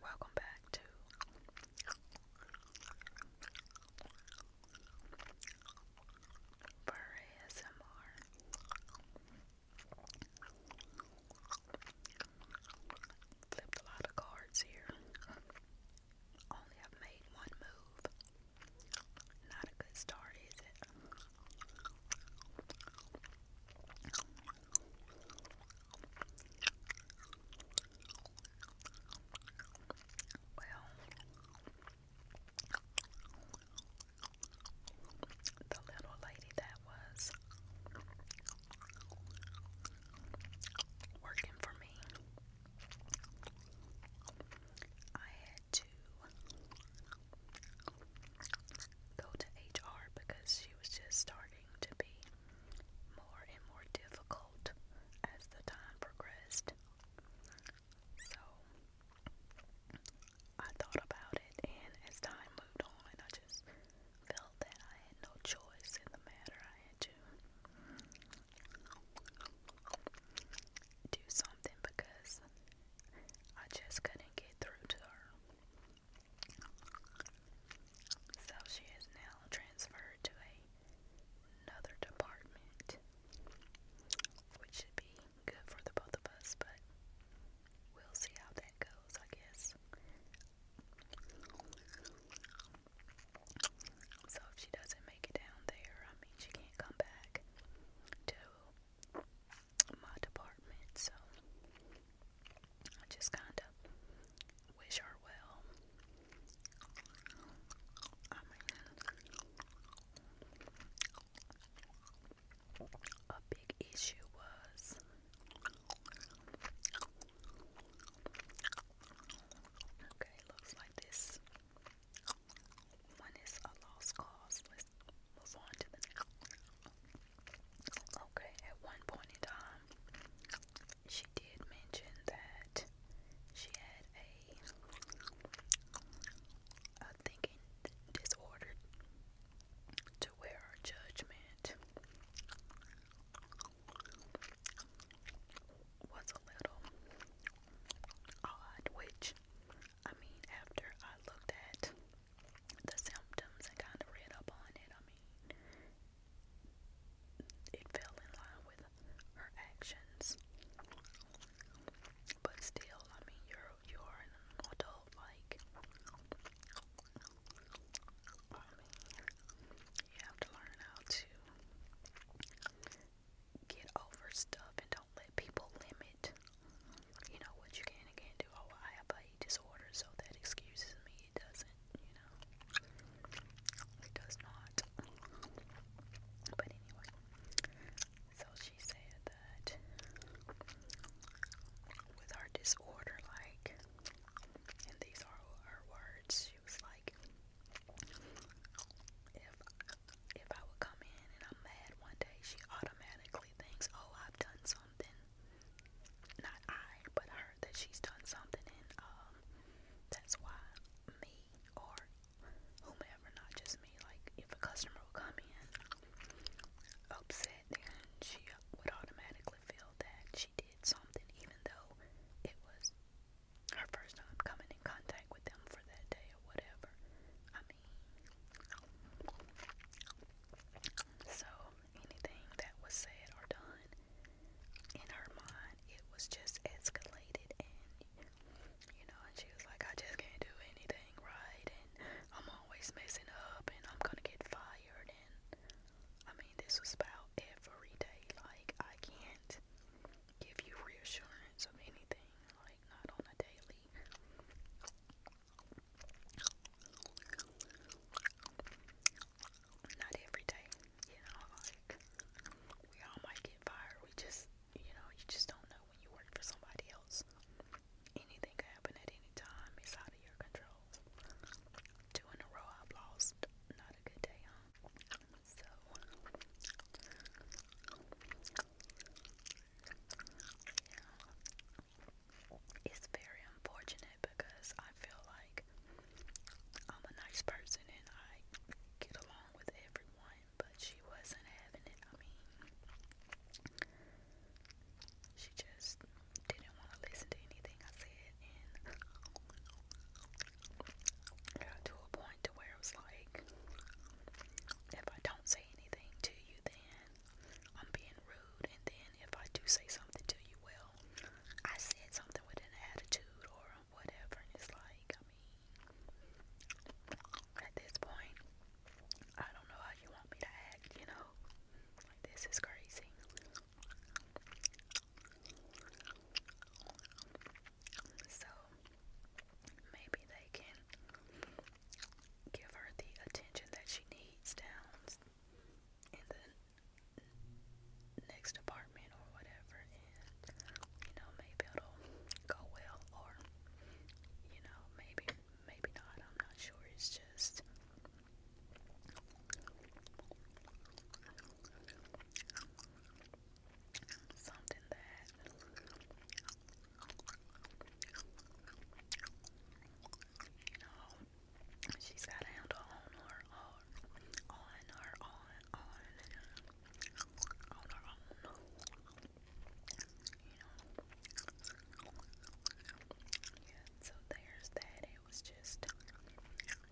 Welcome back to Burr ASMR. Flipped a lot of cards here. Only I've made one move. Not a good start, is it? Well, the little lady that was working for me I had to go to HR because she was just starting to be more and more difficult as the time progressed. So I thought about it, and as time moved on, I just felt that I had no choice in the matter. I had to do something because I just couldn't get through to her. So she is now transferred to a, another department, which should be good for the both of us, but we'll see how that goes, I guess. So if she doesn't make it down there, I mean, she can't come back to my department. So I just kind of wish her well. a big issue was Okay, looks like this one is a lost cause. Let's move on to the next. Okay, at one point in time, she did mention that she had a, a thinking disorder to where her judgment was a little odd, which I mean, after I looked at the symptoms and kind of read up on it, I mean, it fell in line with her actions. But still, I mean, you're you're an adult, like you have to learn how to get over stuff and don't let people limit, you know, what you can and can't do. Oh, I have a disorder, so that excuses me. It doesn't, you know, it does not. But anyway, so she said that with her disorder, like, and these are her words. She was like, if if I would come in and I'm mad one day, she automatically thinks, oh, I've done something. Not I, but her that she's done something, and um, that's why me or whomever, not just me. Like if a customer would come in upset, and she would automatically feel that she did something, even though it was her first time coming in contact with them for that day or whatever. so anything that was said or done in her mind, it was just escalated, and you know, and she was like, I just can't do anything right, and I'm always messing up, and I'm gonna get fired. I mean, this was about every day. Like, I can't give you reassurance of anything, like, not on a daily. Not every day, you know, like, we all might get fired. We just, you know, you just don't know when you work for somebody else anything can happen at any time. It's out of your control. Two in a row I've lost. Not a good day, huh? So yeah. it's very unfortunate because I feel like I'm a nice person and I get along with everyone, but she wasn't having it. I me she just didn't want to listen to anything I said, and got to a point to where I was like, if I don't say anything to you, then I'm being rude, and then if I do say something to you, well, I said something with an attitude or whatever, and it's like, I mean, at this point, I don't know how you want me to act, you know? Like, this is crazy. So, maybe they can give her the attention that she needs down in the next apartment or whatever, and you know, maybe it'll go well, or you know, maybe maybe not, I'm not sure. It's just something that you know she's got to handle on her own, on her own, on, on her own you know. Yeah, so there's that. It was just,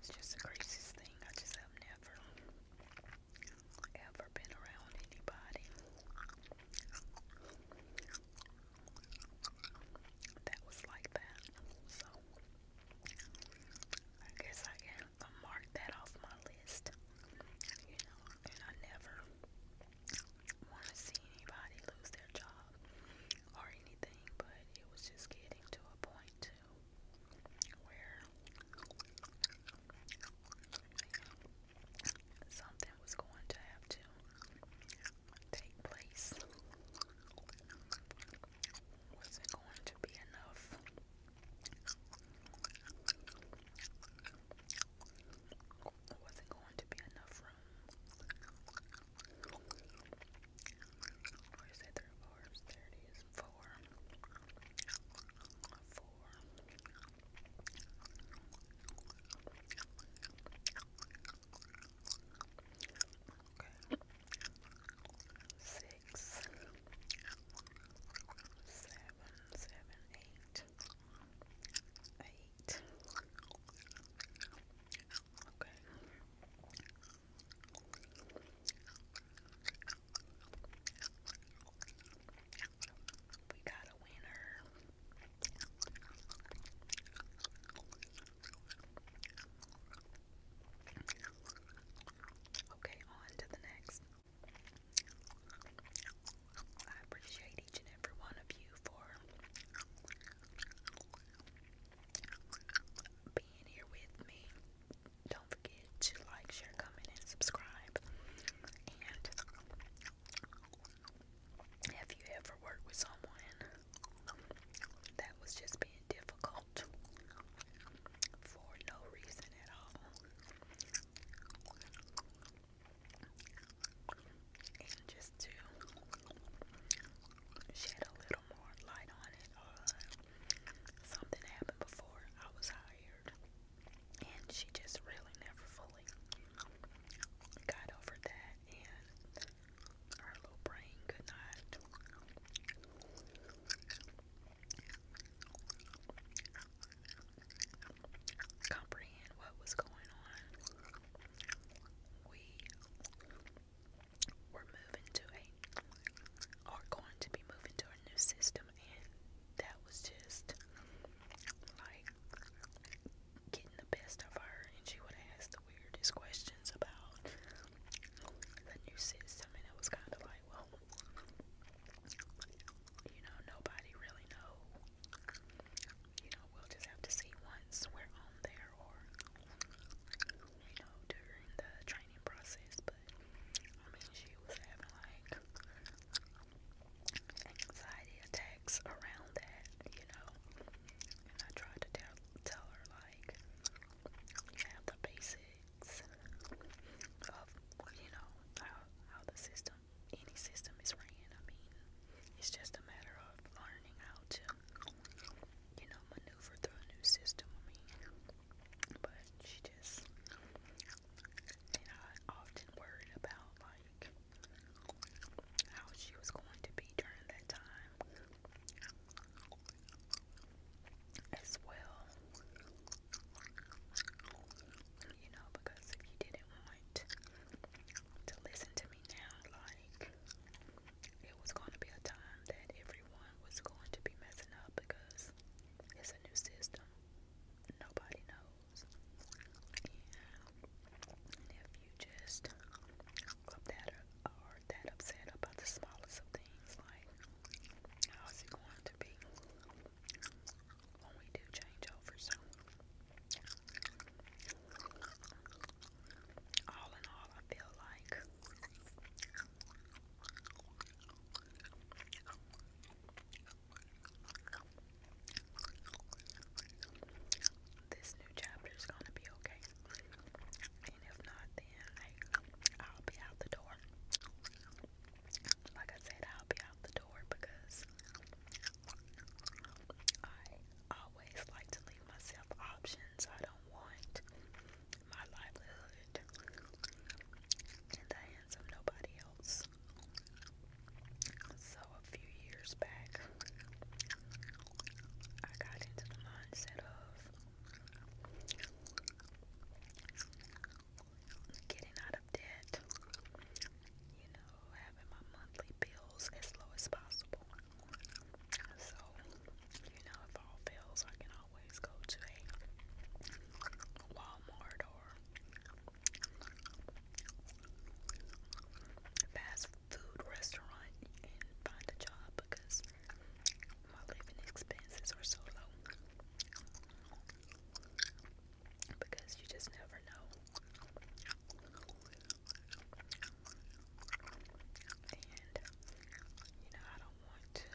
it's just the craziest thing. I just have never, ever been around anybody that was like that. So, I guess I can mark that off my list you know, and I never want to see anybody lose their job or anything, but it was just getting to a point too where something was going to have to take place. Wasn't going to be enough there wasn't going to be enough room. Where's the other orbs? There it is. Four. Four. Okay. Six seven, seven, eight, eight. Okay. We got a winner. Okay, on to the next. I appreciate each and every one of you for being here with me. Don't forget to like, share, comment, and subscribe. And have you ever worked with someone that was just being difficult? for no reason at all. And just to shed a little more light on it, uh, something happened before I was hired, and she just really never fully got over that, and our little brain could not comprehend what was going on. We were moving to a, are going to be moving to a new system, and that was just like getting the best of her. And she would ask the weirdest questions about the new system, and it was kind of like, well, you know, nobody really know. You know, we'll just have to see once we're on there, or you know, during the training process. But I mean, she was having like anxiety attacks around that, you know. And I tried to tell tell her like, you have the basic mechanics of you know how, how the system, any system is ran. I mean, it's just a matter of learning how to you know maneuver through a new system. I mean, but she just and I often worried about like how she was going to be during that time as well. You know, because if you didn't want to listen to me now, like it was going to be a time that everyone was going to be messing up because it's a new system. Nobody knows. Yeah. if you just up that upset about the smallest of things. Like, how is it going to be when we do changeovers? All in all, I feel like this new chapter is going to be okay. And if not, then like I'll be out the door. Like I said, I'll be out the door because I always like to leave myself options. I don't want my livelihood in the hands of nobody else. So a few years back, I got into the mindset of getting out of debt, you know, having my monthly bills as low as possible. So, you know, if all fails, I can always go to a Walmart or fast food restaurant and find a job because my living expenses are so low. Because you just never know. And, you know, I don't want to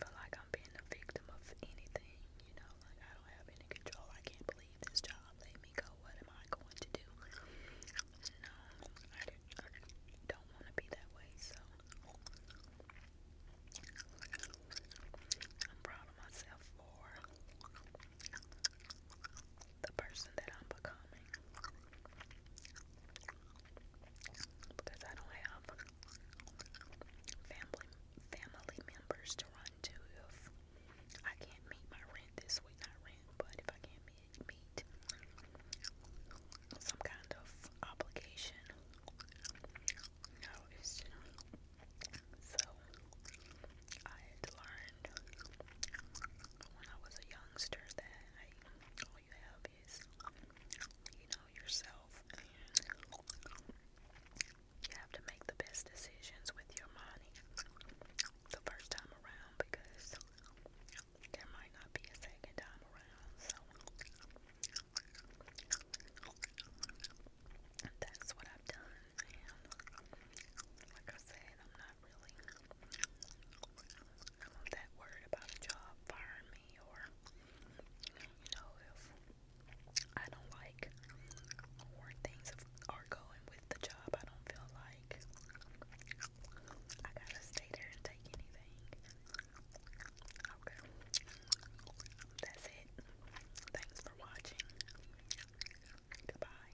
feel like I'm being a victim of anything, you know, like I don't have any control. I can't believe this job let me go what am I going to do? No, I, don't want to be that way, so I'm proud of myself for the person that I'm becoming because I don't have family family members to run to I can't meet my rent this week, not rent, but if I can't meet, meet some kind of obligation, no, so I learned when I was a youngster that all you have is you know yourself you have to make the best decisions with your money the first time around because there might not be a second time around. So that's what I've done. And like I said, I'm not really that worried about a job firing me or, you know, if I don't like where things are going with the job. I don't feel like I gotta stay there and take anything. Okay. That's it. Thanks for watching. Goodbye.